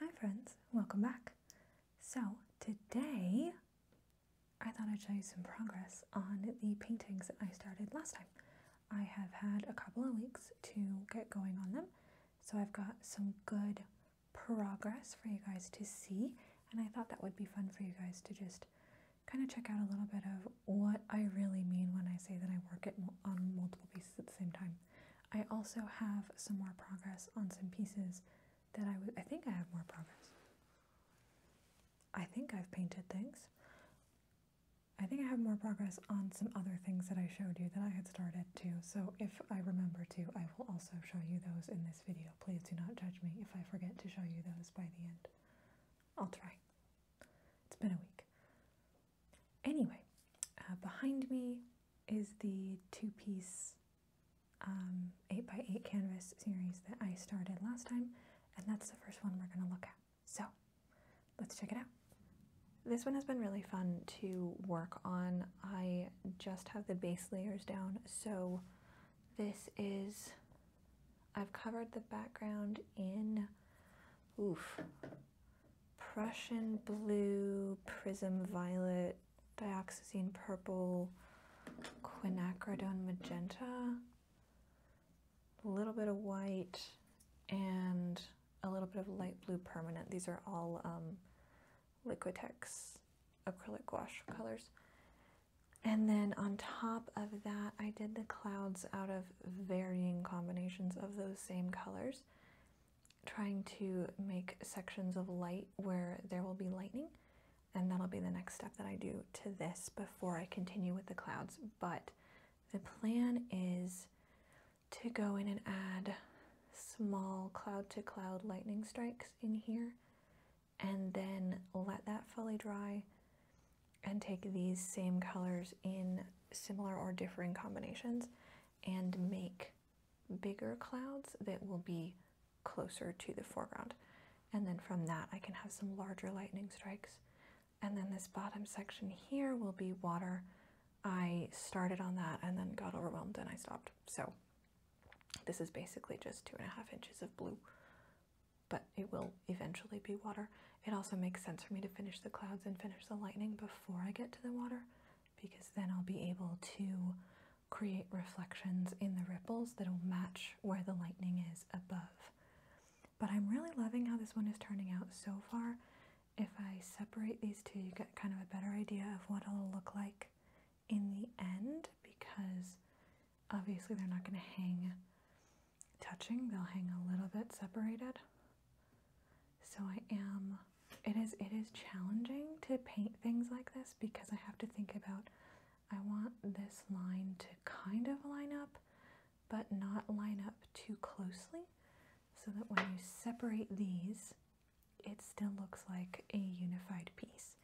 Hi friends, welcome back. So today I thought I'd show you some progress on the paintings that I started last time. I have had a couple of weeks to get going on them, so I've got some good progress for you guys to see, and I thought that would be fun for you guys to just kind of check out a little bit of what I really mean when I say that I work at, on multiple pieces at the same time. I also have some more progress on some pieces that I I think I have more progress. I think I've painted things. I think I have more progress on some other things that I showed you that I had started too. So if I remember to, I will also show you those in this video. Please do not judge me if I forget to show you those by the end. I'll try. It's been a week. Anyway, uh, behind me is the two-piece 8x8 um, canvas series that I started last time, and that's the first one we're going to look at. So let's check it out. This one has been really fun to work on. I just have the base layers down, so this is, I've covered the background in, oof, Prussian blue, prism violet, dioxazine purple, quinacridone magenta, a little bit of white, and a little bit of light blue permanent. These are all um, Liquitex acrylic wash colors. And then on top of that, I did the clouds out of varying combinations of those same colors, trying to make sections of light where there will be lightning. And that'll be the next step that I do to this before I continue with the clouds. But the plan is to go in and add small cloud to cloud lightning strikes in here and then let that fully dry and take these same colors in similar or differing combinations and make bigger clouds that will be closer to the foreground. And then from that, I can have some larger lightning strikes. And then this bottom section here will be water. I started on that and then got overwhelmed and I stopped. So this is basically just two and a half inches of blue but it will eventually be water. It also makes sense for me to finish the clouds and finish the lightning before I get to the water because then I'll be able to create reflections in the ripples that'll match where the lightning is above. But I'm really loving how this one is turning out so far. If I separate these two, you get kind of a better idea of what it'll look like in the end because obviously they're not going to hang touching, they'll hang a little bit separated. So I am, it is, it is challenging to paint things like this because I have to think about, I want this line to kind of line up, but not line up too closely so that when you separate these, it still looks like a unified piece.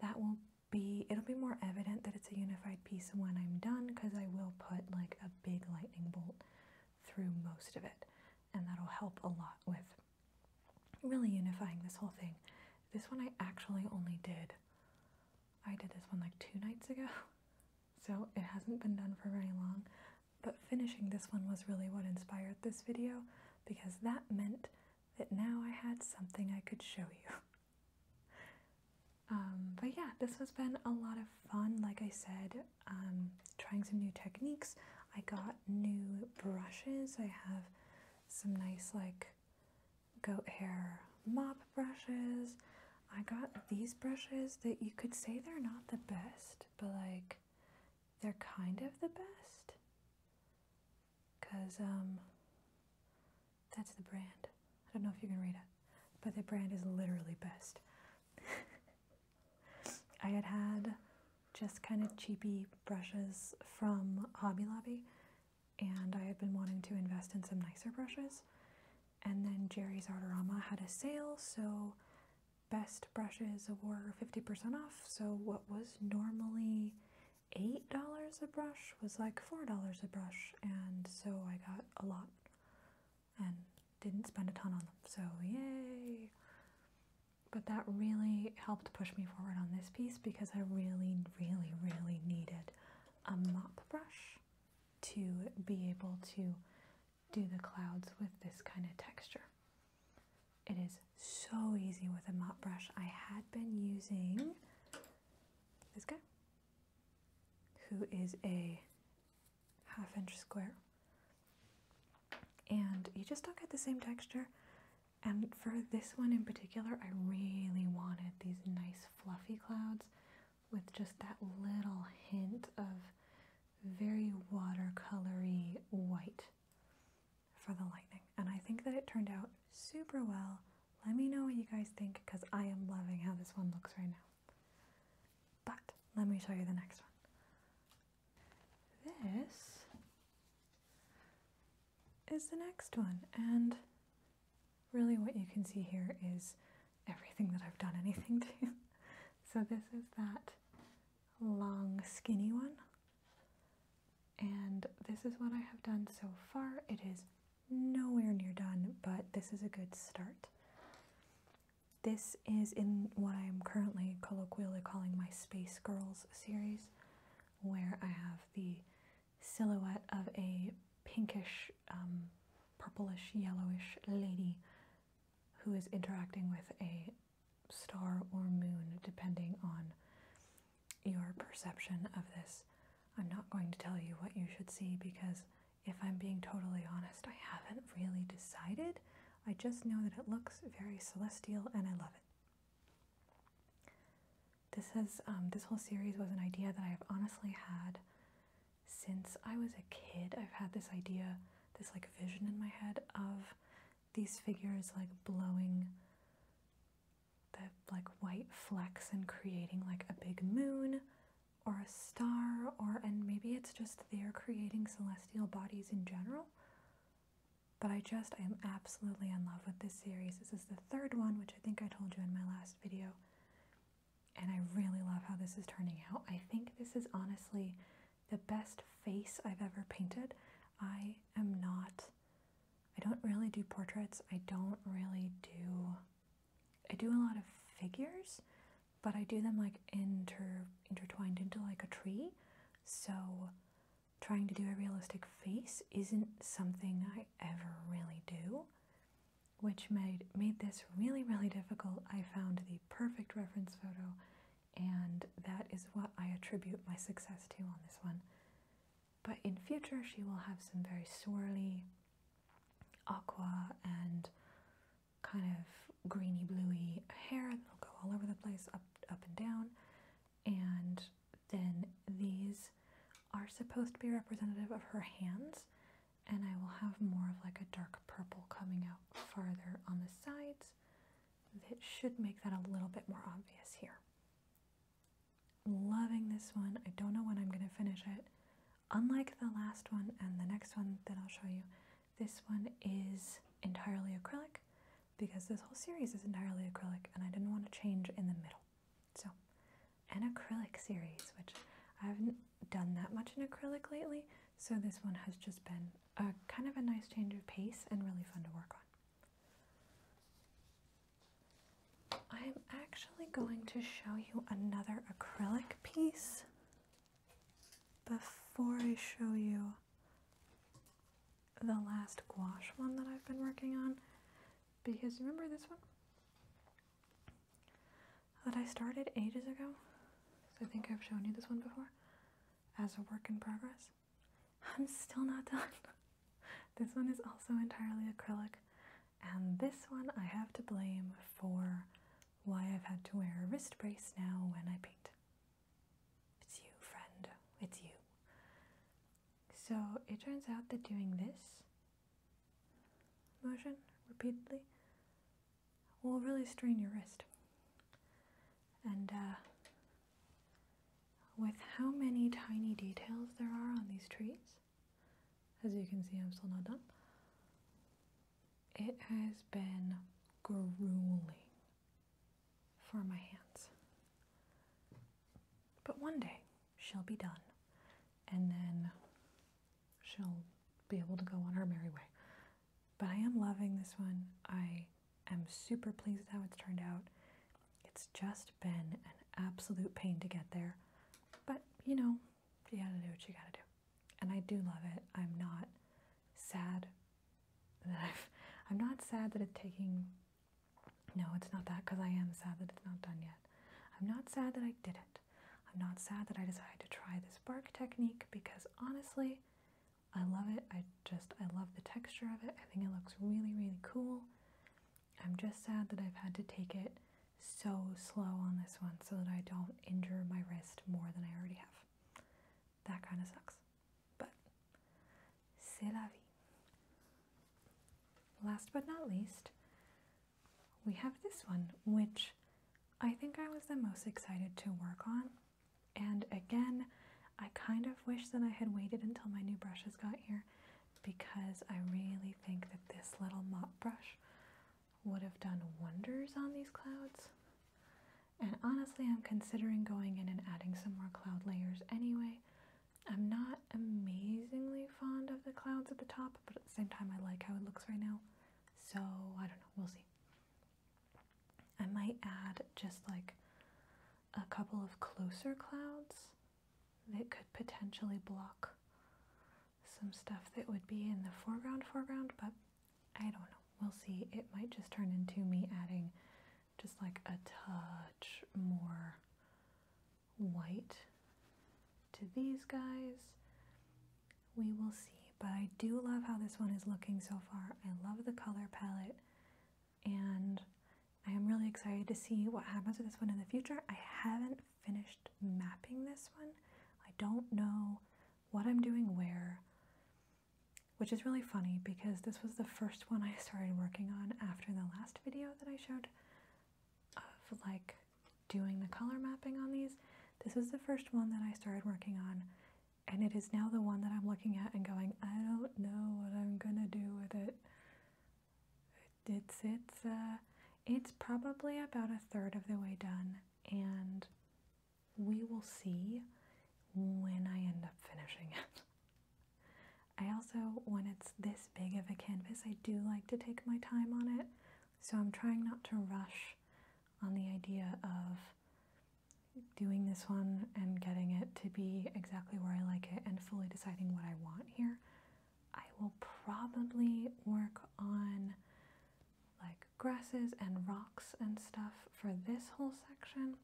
That will be it'll be more evident that it's a unified piece when I'm done because I will put like a big lightning bolt through most of it and that'll help a lot with really unifying this whole thing. This one I actually only did I did this one like two nights ago so it hasn't been done for very long but finishing this one was really what inspired this video because that meant that now I had something I could show you. Um, but yeah, this has been a lot of fun. Like I said, um, trying some new techniques. I got new brushes. I have some nice like goat hair mop brushes. I got these brushes that you could say they're not the best, but like they're kind of the best because um, that's the brand. I don't know if you can read it, but the brand is literally best. I had had just kind of cheapy brushes from Hobby Lobby, and I had been wanting to invest in some nicer brushes. And then Jerry's Artorama had a sale, so best brushes were 50% off. So what was normally $8 a brush was like $4 a brush, and so I got a lot and didn't spend a ton on them. So, yay! But that really helped push me forward on this piece because I really, really, really needed a mop brush to be able to do the clouds with this kind of texture. It is so easy with a mop brush. I had been using this guy, who is a half inch square. And you just don't get the same texture. And for this one in particular, I really wanted these nice fluffy clouds with just that little hint of very watercolory white for the lightning. And I think that it turned out super well. Let me know what you guys think because I am loving how this one looks right now. But let me show you the next one. This is the next one. And really what you can see here is everything that I've done anything to. so this is that long skinny one and this is what I have done so far. It is nowhere near done, but this is a good start. This is in what I am currently colloquially calling my Space Girls series, where I have the silhouette of a pinkish, um, purplish, yellowish lady who is interacting with a star or moon, depending on your perception of this. I'm not going to tell you what you should see because, if I'm being totally honest, I haven't really decided. I just know that it looks very celestial and I love it. This has um, this whole series was an idea that I've honestly had since I was a kid. I've had this idea, this like vision in my head of these figures like blowing the like white flecks and creating like a big moon or a star or and maybe it's just they're creating celestial bodies in general but I just I am absolutely in love with this series. This is the third one, which I think I told you in my last video. And I really love how this is turning out. I think this is honestly the best face I've ever painted. I am not, I don't really do portraits. I don't really do, I do a lot of figures, but I do them like inter, intertwined into like a tree. So trying to do a realistic face isn't something I ever really do, which made, made this really, really difficult. I found the perfect reference photo and that is what I attribute my success to on this one. But in future, she will have some very swirly, aqua, and kind of greeny bluey hair that'll go all over the place, up, up and down. And then these are supposed to be representative of her hands, and I will have more of like a dark purple coming out farther on the sides. It should make that a little bit more obvious here. Loving this one. I don't know when I'm going to finish it. Unlike the last one and the next one that I'll show you, this one is entirely acrylic because this whole series is entirely acrylic and I didn't want to change in the middle. So, an acrylic series, which I haven't done that much in acrylic lately, so this one has just been a kind of a nice change of pace and really fun to work on. I'm actually going to show you another acrylic piece before I show you the last gouache one that I've been working on because remember this one that I started ages ago? I think I've shown you this one before as a work in progress. I'm still not done. this one is also entirely acrylic, and this one I have to blame for why I've had to wear a wrist brace now when I paint. It's you, friend. It's you. So it turns out that doing this motion repeatedly will really strain your wrist. And uh, with how many tiny details there are on these trees, as you can see, I'm still not done, it has been grueling for my hands. But one day she'll be done, and then she'll be able to go on her merry way. But I am loving this one. I am super pleased with how it's turned out. It's just been an absolute pain to get there. But, you know, you gotta do what you gotta do. And I do love it. I'm not sad that I've, I'm not sad that it's taking, no, it's not that because I am sad that it's not done yet. I'm not sad that I did it. I'm not sad that I decided to try this bark technique because honestly, I love it. I just, I love the texture of it. I think it looks really, really cool. I'm just sad that I've had to take it so slow on this one so that I don't injure my wrist more than I already have. That kind of sucks, but c'est la vie. Last but not least, we have this one, which I think I was the most excited to work on. And again, I kind of wish that I had waited until my new brushes got here because I really think that this little mop brush would have done wonders on these clouds. And honestly, I'm considering going in and adding some more cloud layers anyway. I'm not amazingly fond of the clouds at the top, but at the same time, I like how it looks right now. So I don't know, we'll see. I might add just like a couple of closer clouds that could potentially block some stuff that would be in the foreground foreground, but I don't know. We'll see. It might just turn into me adding just like a touch more white to these guys. We will see, but I do love how this one is looking so far. I love the color palette and I am really excited to see what happens with this one in the future. I haven't finished mapping this one. I don't know what I'm doing where, which is really funny because this was the first one I started working on after the last video that I showed of like doing the color mapping on these. This is the first one that I started working on, and it is now the one that I'm looking at and going, I don't know what I'm gonna do with it. It's it's uh, it's probably about a third of the way done, and we will see when I end up finishing it. I also, when it's this big of a canvas, I do like to take my time on it. So I'm trying not to rush on the idea of doing this one and getting it to be exactly where I like it and fully deciding what I want here. I will probably work on like grasses and rocks and stuff for this whole section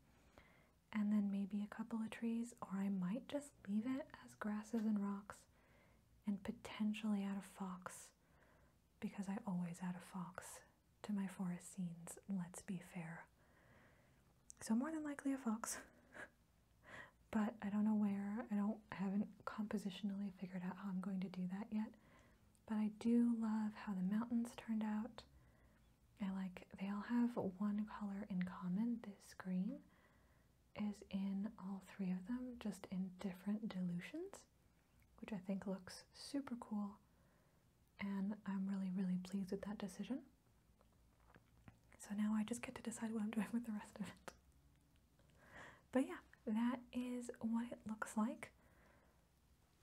and then maybe a couple of trees or I might just leave it as grasses and rocks and potentially add a fox because I always add a fox to my forest scenes, let's be fair. So more than likely a fox. but I don't know where. I don't haven't compositionally figured out how I'm going to do that yet. But I do love how the mountains turned out. I like they all have one color in common, this green, is in all three of them, just in different dilutions, which I think looks super cool. And I'm really, really pleased with that decision. So now I just get to decide what I'm doing with the rest of it. But yeah, that is what it looks like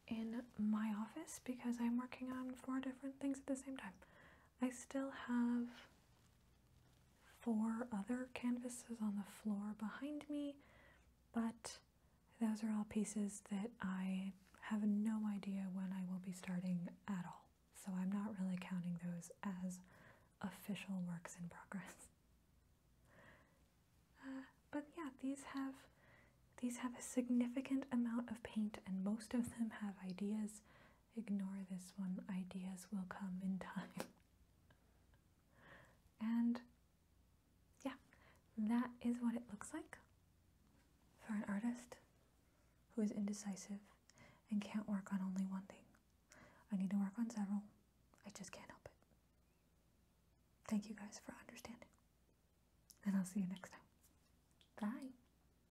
in my office because I'm working on four different things at the same time. I still have four other canvases on the floor behind me, but those are all pieces that I have no idea when I will be starting at all. So I'm not really counting those as official works in progress. Uh, but yeah, these have these have a significant amount of paint and most of them have ideas Ignore this one, ideas will come in time. and yeah, that is what it looks like for an artist who is indecisive and can't work on only one thing. I need to work on several. I just can't help it. Thank you guys for understanding. And I'll see you next time. Bye.